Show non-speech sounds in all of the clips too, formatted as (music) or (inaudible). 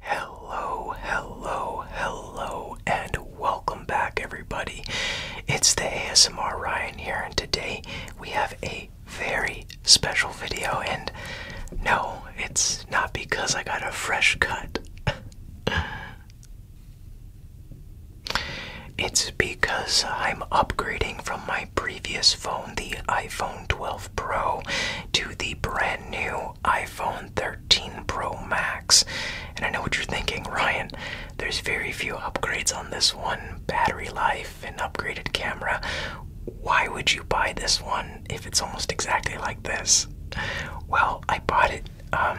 Hello, hello, hello, and welcome back, everybody. It's the ASMR Ryan here, and today we have a very special video. And no, it's not because I got a fresh cut, (laughs) it's because I'm upgrading from my previous phone, the iPhone 12 Pro, to the brand new iPhone 13 Pro Max. And I know what you're thinking, Ryan, there's very few upgrades on this one battery life and upgraded camera. Why would you buy this one if it's almost exactly like this? Well, I bought it. Um,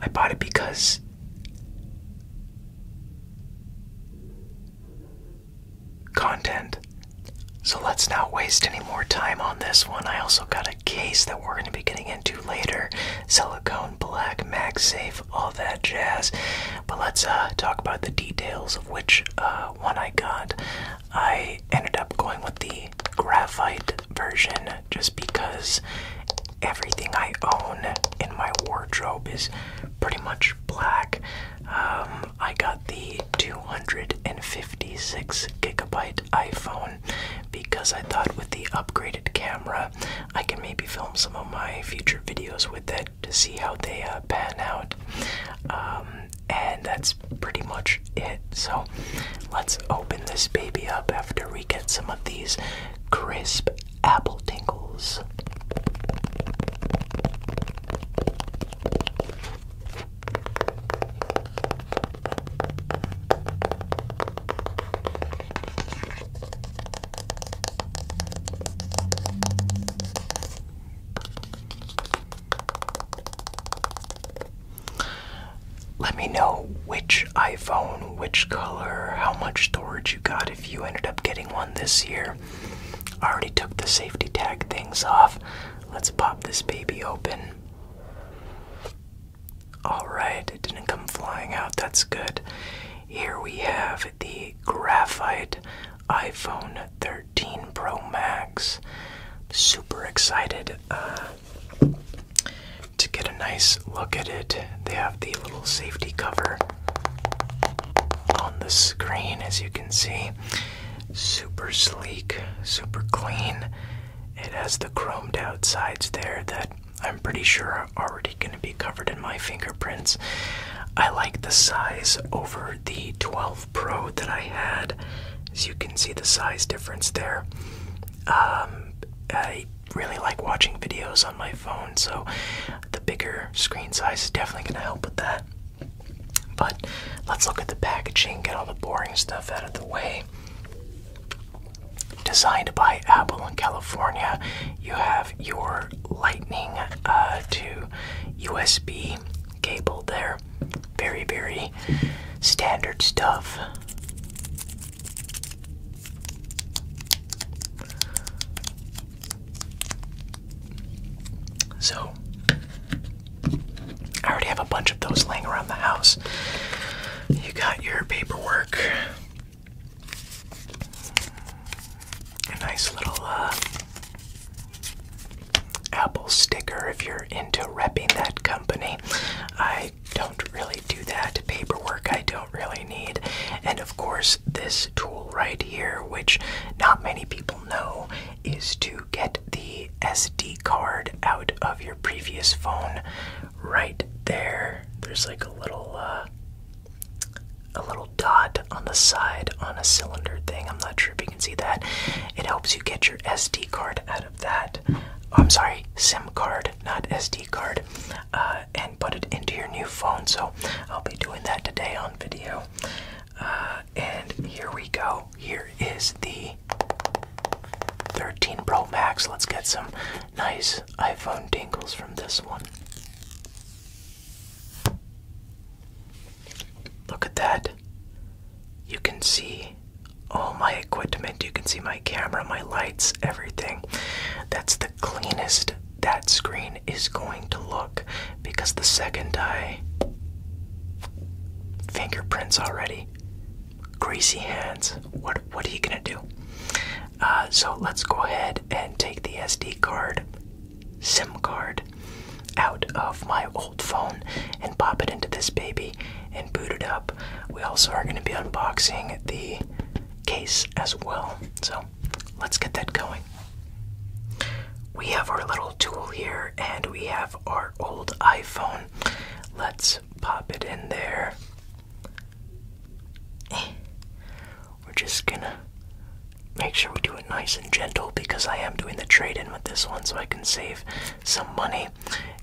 I bought it because content. So let's not waste any more time on this one. I also got a case that we're going to be getting into later silicone, black, MagSafe, all that jazz. But let's uh, talk about the details of which uh, one I got. I ended up going with the graphite version just because everything I own in my wardrobe is pretty much black. Um, I got the 256 gigabyte iPhone because I thought with the upgraded camera, I can maybe film some of my future videos with it to see how they uh, pan out. Um, and that's pretty much it. So let's open this baby up after we get some of these crisp apple tinkles. Let me know which iPhone, which color, how much storage you got if you ended up getting one this year. I already took the safety tag things off. Let's pop this baby open. Alright, it didn't come flying out. That's good. Here we have the graphite iPhone 13 Pro Max. Super excited uh, to get a nice look at it. They have the little safety cover on the screen, as you can see. Super sleek, super clean. It has the chromed outsides there that I'm pretty sure are already going to be covered in my fingerprints. I like the size over the 12 Pro that I had. As you can see, the size difference there. Um, I really like watching videos on my phone, so the bigger screen size is definitely going to help with that. But let's look at the packaging, get all the boring stuff out of the way. Designed by Apple in California, you have your Lightning uh, to USB cable there. Very, very standard stuff. So, I already have a bunch of those laying around the house. You got your paperwork. A nice little uh, Apple sticker if you're into repping that company. I I don't really do that paperwork I don't really need. And of course, this tool right here, which not many people know, is to get the SD card out of your previous phone right there. There's like a little uh a little dot on the side on a cylinder thing. I'm not sure if you can see that. It helps you get your SD card out of that. I'm sorry, SIM card not SD card, uh, and put it into your new phone. So I'll be doing that today on video. Uh, and here we go. Here is the 13 Pro Max. Let's get some nice iPhone dingles from this one. Look at that. You can see all my equipment. You can see my my camera, my lights, everything. That's the cleanest that screen is going to look because the second I fingerprints already, greasy hands. What what are you gonna do? Uh, so let's go ahead and take the SD card, SIM card, out of my old phone and pop it into this baby and boot it up. We also are going to be unboxing the case as well. So let's get that going. We have our little tool here and we have our old iPhone. Let's pop it in there. Eh. We're just gonna make sure we do it nice and gentle because I am doing the trade in with this one so I can save some money.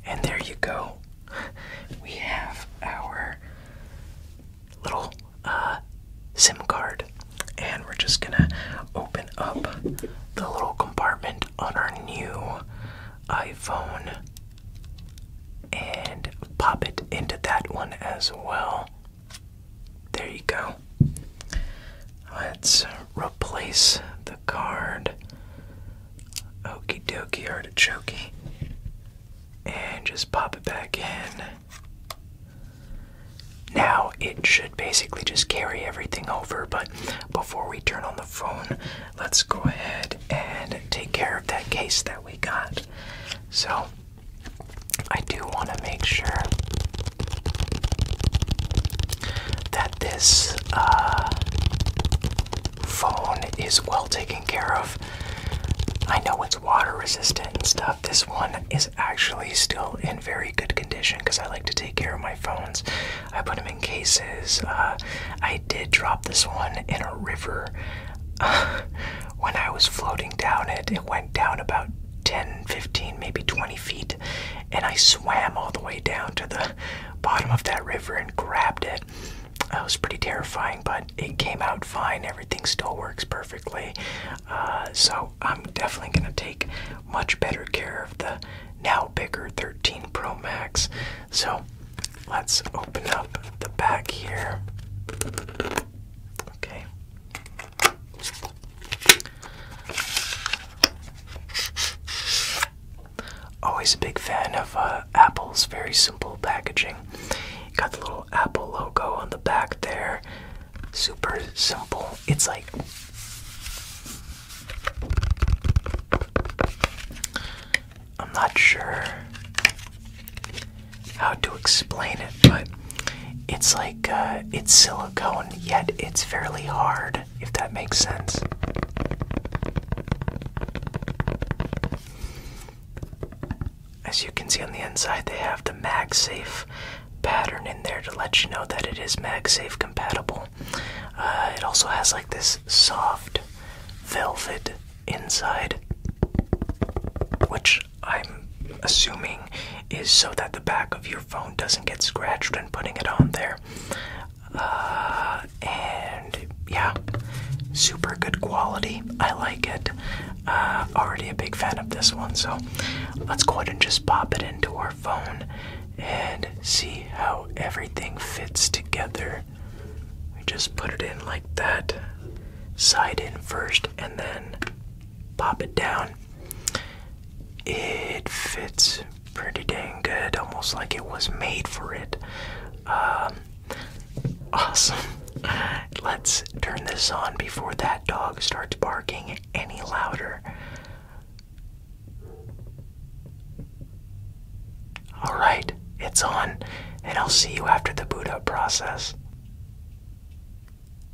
And there you go we have our little uh, SIM card, and we're just gonna open up the little compartment on our new iPhone and pop it into that one as well. There you go. Let's replace the card Okie dokie artichoke. And just pop it back in. Now it should basically just carry everything over, but before we turn on the phone, let's go ahead and take care of that case that we got. So I do want to make sure that this uh, phone is well taken care of. I know it's water resistant and stuff. This one is actually still in very good condition because I like to take care of my phones. I put them in cases. Uh, I did drop this one in a river. (laughs) when I was floating down it, it went down about 10, 15, maybe 20 feet, and I swam all the way down to the bottom of that river and grabbed it. It was pretty terrifying, but it came out fine. Everything still works perfectly. Uh, so I'm definitely going to take much better care of the now bigger 13 Pro Max. So let's open up the back here. Okay. Always a big fan of uh, Apple's very simple packaging. Got the little Apple logo on the back there. Super simple. It's like. I'm not sure how to explain it, but it's like uh, it's silicone, yet it's fairly hard if that makes sense. As you can see on the inside, they have the MagSafe pattern in there to let you know that it is MagSafe compatible. Uh, it also has like this soft velvet inside, which I'm assuming is so that the back of your phone doesn't get scratched when putting it on there. Uh, and yeah, super good quality. I like it. Uh, already a big fan of this one, so let's go ahead and just pop it into our phone and see how everything fits together. We just put it in like that, side in first, and then pop it down. It fits pretty dang good, almost like it was made for it. Um, (laughs) awesome. Let's turn this on before that dog starts barking any louder. Alright, it's on, and I'll see you after the boot up process.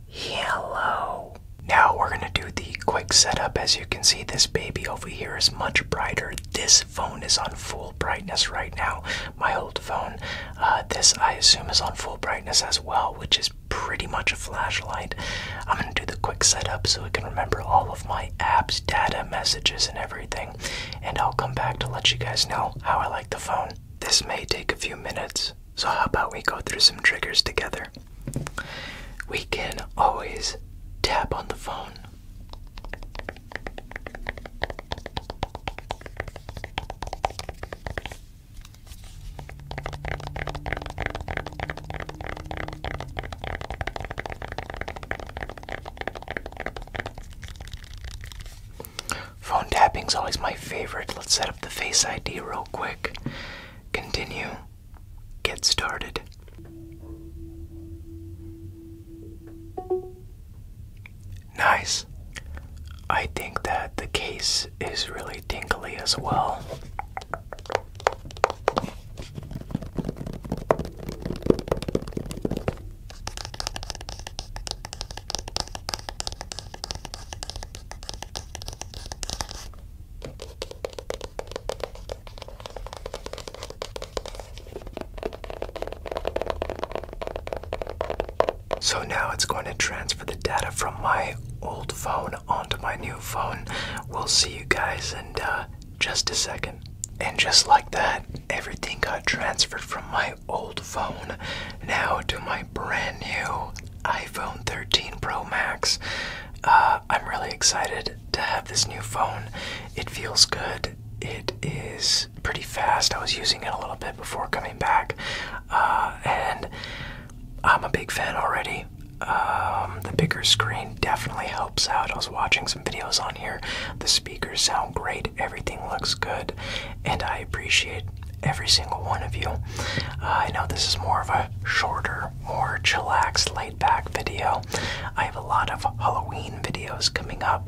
Hello. Now we're gonna do the quick setup. As you can see, this baby over here is much brighter. This phone is on full brightness right now. My old phone, uh, this I assume is on full brightness as well, which is pretty much a flashlight. I'm gonna do the quick setup so it can remember all of my apps, data, messages, and everything. And I'll come back to let you guys know how I like the phone. This may take a few minutes, so, how about we go through some triggers together? We can always tap on the phone. Phone tapping is always my favorite. Let's set up the Face ID real quick. Continue. Get started. Nice. I think that the case is really tinkly as well. So now it's going to transfer the data from my old phone onto my new phone. We'll see you guys in uh, just a second. And just like that, everything got transferred from my old phone now to my brand new iPhone 13 Pro Max. Uh, I'm really excited to have this new phone. It feels good. It is pretty fast. I was using it a little bit before coming back, uh, and I'm a big fan already. Um, the bigger screen definitely helps out. I was watching some videos on here. The speakers sound great. Everything looks good, and I appreciate every single one of you. Uh, I know this is more of a shorter, more chillaxed, laid back video. I have a lot of Halloween videos coming up.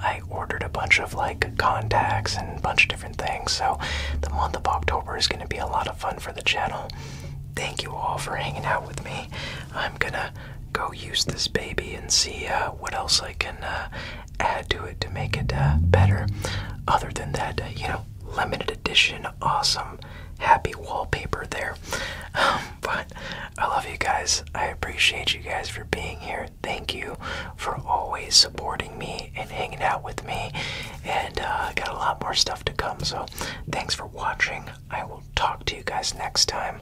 I ordered a bunch of like contacts and a bunch of different things, so the month of October is going to be a lot of fun for the channel. Thank you all for hanging out with me. I'm gonna go use this baby and see uh, what else I can uh, add to it to make it uh, better. Other than that, uh, you know, limited edition, awesome, happy wallpaper there. Um, but I love you guys. I appreciate you guys for being here. Thank you for always supporting me and hanging out with me. And uh, I got a lot more stuff to come, so thanks for watching. I will talk to you guys next time.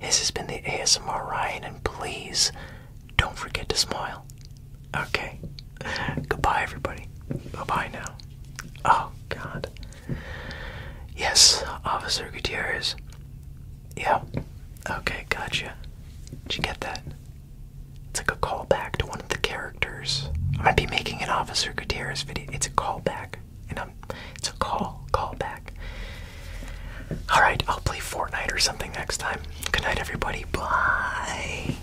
This has been the ASMR Ryan, and please don't forget to smile. Okay. Goodbye, everybody. Bye bye now. Oh, God. Yes, Officer Gutierrez. Yeah. Okay, gotcha. Did you get that? It's like a callback to one of the characters. I might be making an Officer Gutierrez video. It's a callback. And I'm. It's a call. Callback. Alright, I'll play Fortnite or something next time. Good night, everybody. Bye.